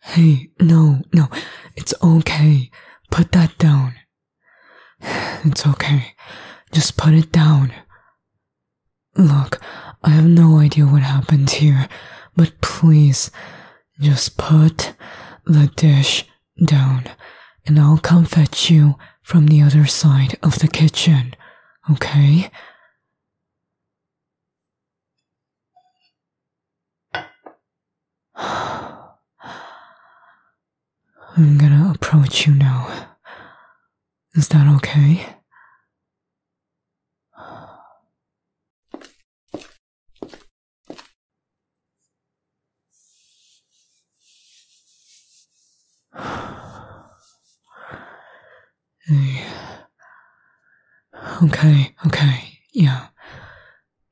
Hey, no, no, it's okay. Put that down. It's okay. Just put it down. Look, I have no idea what happened here, but please, just put the dish down, and I'll come fetch you from the other side of the kitchen, okay? I'm gonna approach you now. Is that okay? Okay, okay, yeah.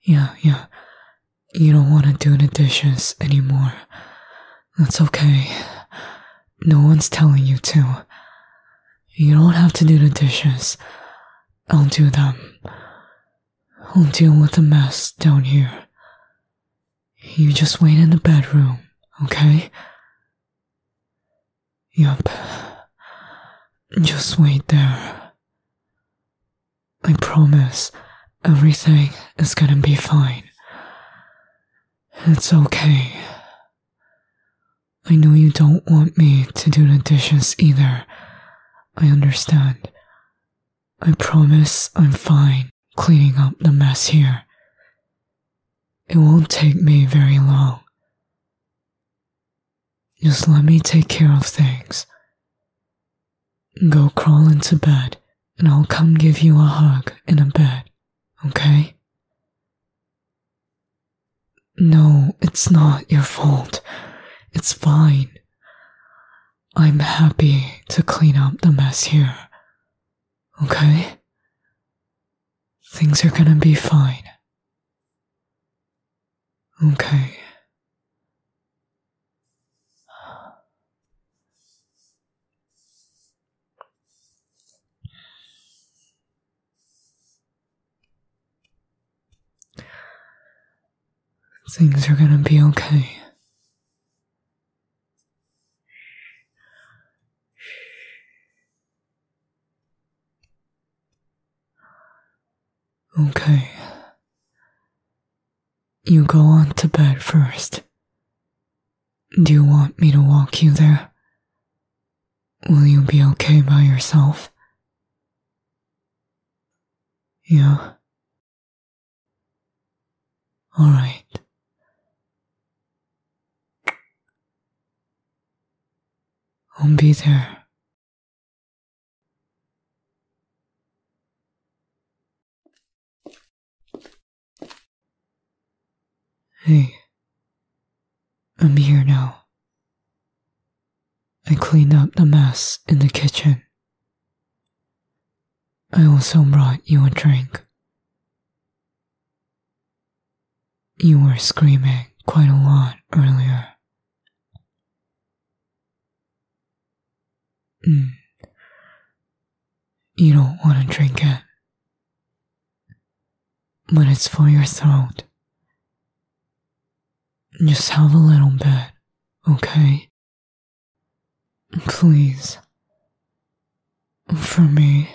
Yeah, yeah. You don't want to do the dishes anymore. That's okay. No one's telling you to. You don't have to do the dishes. I'll do them. I'll deal with the mess down here. You just wait in the bedroom, okay? Yup. Just wait there. I promise everything is gonna be fine. It's okay. I know you don't want me to do the dishes either. I understand. I promise I'm fine cleaning up the mess here. It won't take me very long. Just let me take care of things. Go crawl into bed, and I'll come give you a hug in a bed, okay? No, it's not your fault. It's fine. I'm happy to clean up the mess here. Okay? Things are gonna be fine. Okay. Things are gonna be okay. Okay. You go on to bed first. Do you want me to walk you there? Will you be okay by yourself? Yeah. Alright. I'll be there. Hey, I'm here now. I cleaned up the mess in the kitchen. I also brought you a drink. You were screaming quite a lot earlier. Mm. You don't want to drink it. But it's for your throat. Just have a little bit, okay? Please. For me.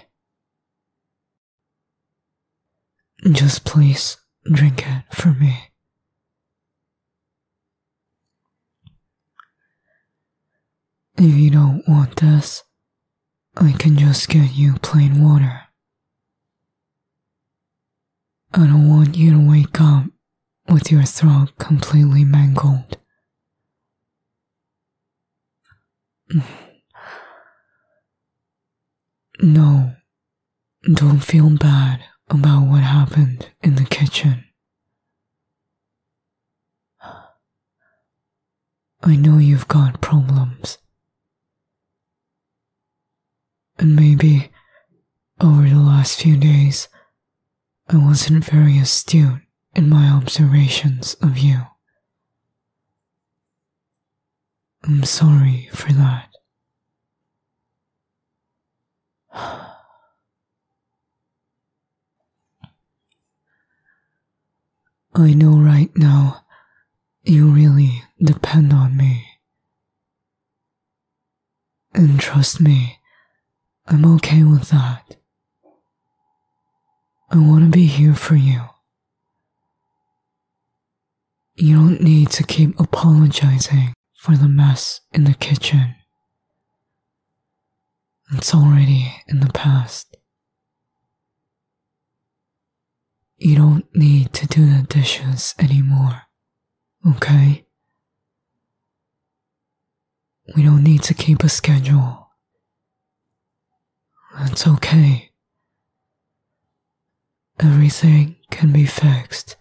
Just please drink it for me. If you don't want this, I can just get you plain water. I don't want you to wake up with your throat completely mangled. No, don't feel bad about what happened in the kitchen. I know you've got problems. And maybe over the last few days, I wasn't very astute in my observations of you. I'm sorry for that. I know right now you really depend on me. And trust me, I'm okay with that. I want to be here for you you don't need to keep apologizing for the mess in the kitchen. It's already in the past. You don't need to do the dishes anymore, okay? We don't need to keep a schedule. That's okay. Everything can be fixed.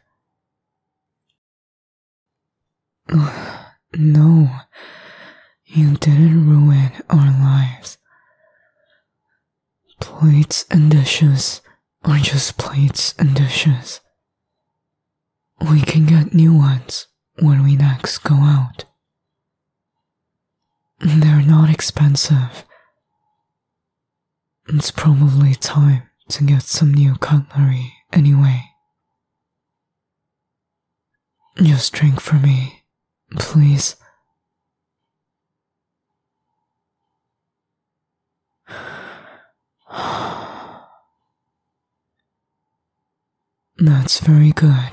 no, you didn't ruin our lives. Plates and dishes are just plates and dishes. We can get new ones when we next go out. They're not expensive. It's probably time to get some new cutlery anyway. Just drink for me, please. That's very good.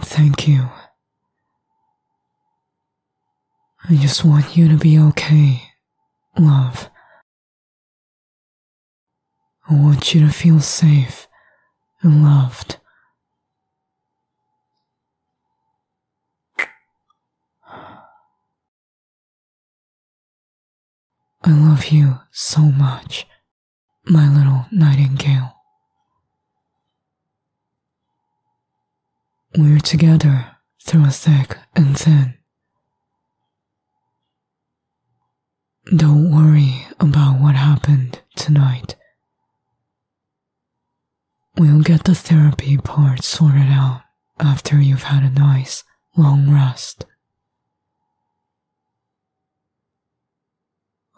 Thank you. I just want you to be okay, love. I want you to feel safe and loved. I love you so much my little nightingale. We're together through thick and thin. Don't worry about what happened tonight. We'll get the therapy part sorted out after you've had a nice, long rest.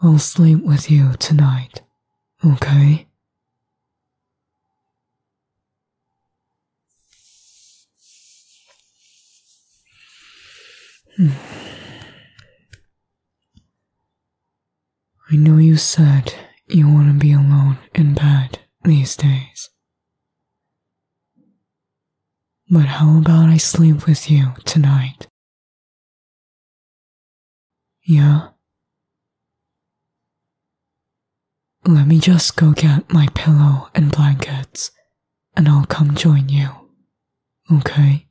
I'll sleep with you tonight, okay? Hmm. I know you said you want to be alone in bed these days. But how about I sleep with you tonight? Yeah. Let me just go get my pillow and blankets, and I'll come join you. Okay?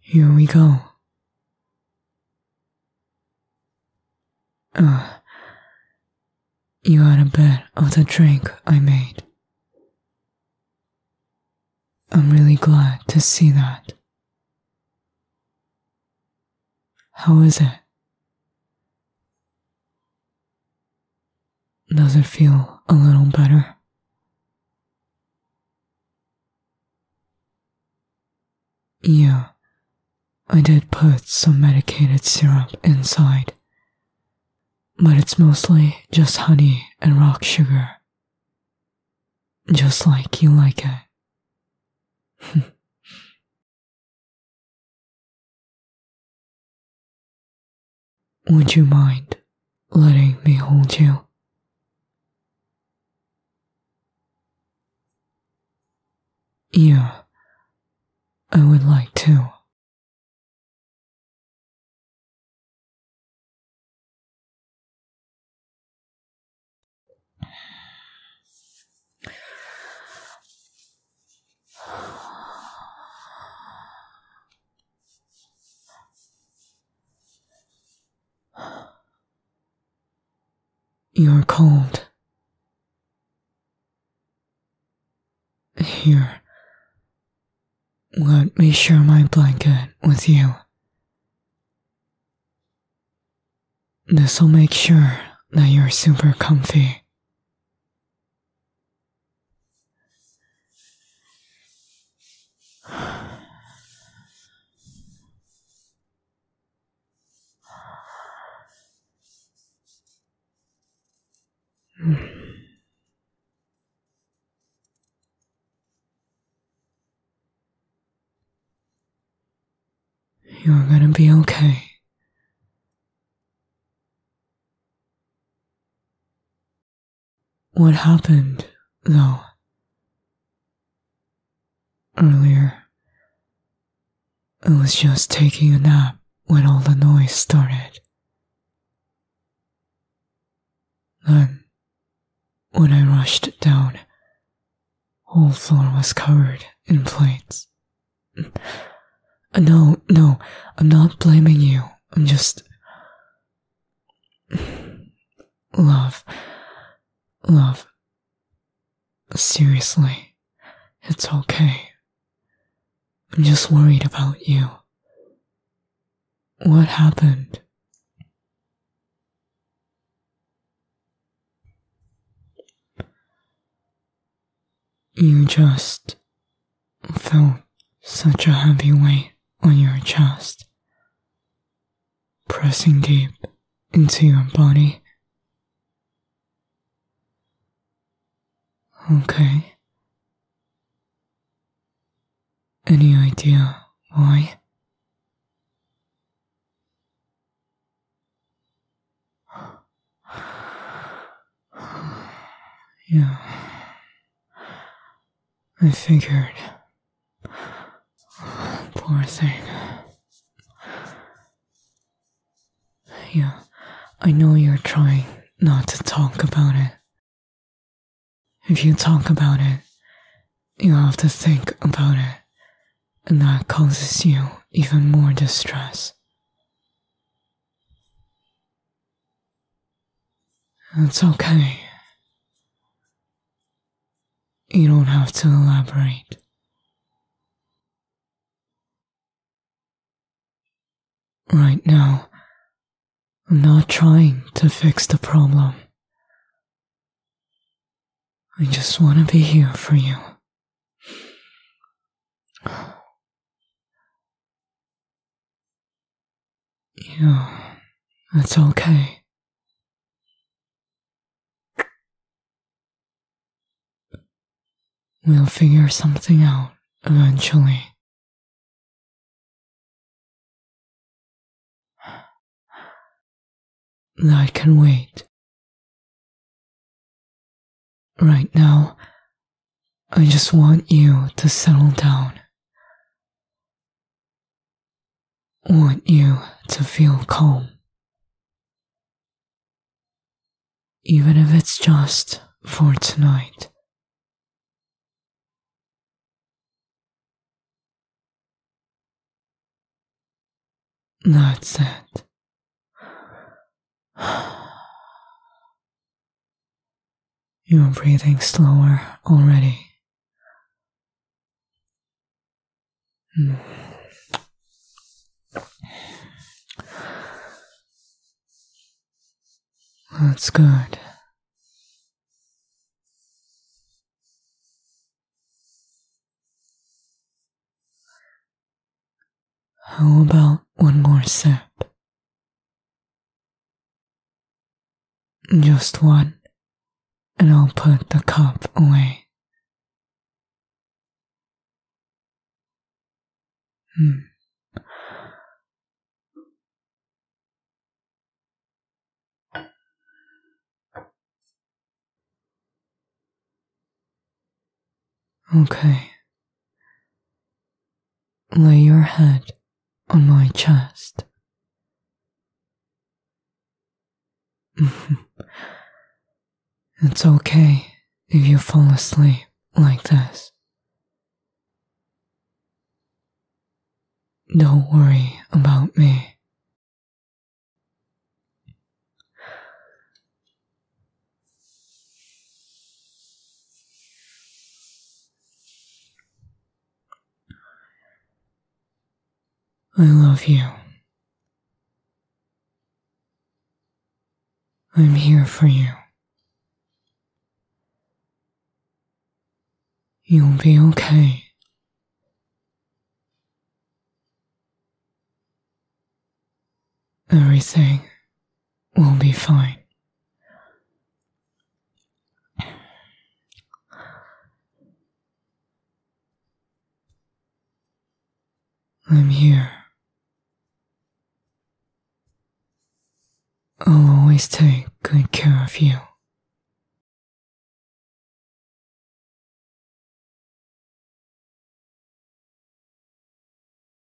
Here we go. Ah, you had a bit of the drink I made. I'm really glad to see that. How is it? Does it feel a little better? Yeah, I did put some medicated syrup inside, but it's mostly just honey and rock sugar, just like you like it. Would you mind letting me hold you? Yeah, I would like to. You're cold. Here, let me share my blanket with you. This'll make sure that you're super comfy. You're gonna be okay. What happened, though? Earlier, I was just taking a nap when all the noise started. Then, when I rushed down, whole floor was covered in plates uh, no, no, I'm not blaming you. I'm just. Love. Love. Seriously, it's okay. I'm just worried about you. What happened? You just felt such a heavy weight on your chest, pressing deep into your body. Okay. Any idea why? Yeah. I figured. Poor thing. Yeah, I know you're trying not to talk about it. If you talk about it, you have to think about it, and that causes you even more distress. It's okay. You don't have to elaborate. Right now, I'm not trying to fix the problem. I just want to be here for you. Yeah, that's okay. We'll figure something out eventually. I can wait. Right now, I just want you to settle down. Want you to feel calm. Even if it's just for tonight. That's it. You're breathing slower already. Hmm. That's good. How about one more sip? Just one, and I'll put the cup away. Hmm. Okay. Lay your head on my chest. it's okay if you fall asleep like this. Don't worry about me. I love you. I'm here for you. You'll be okay. Everything We'll be fine. I'm here. I'll always take good care of you.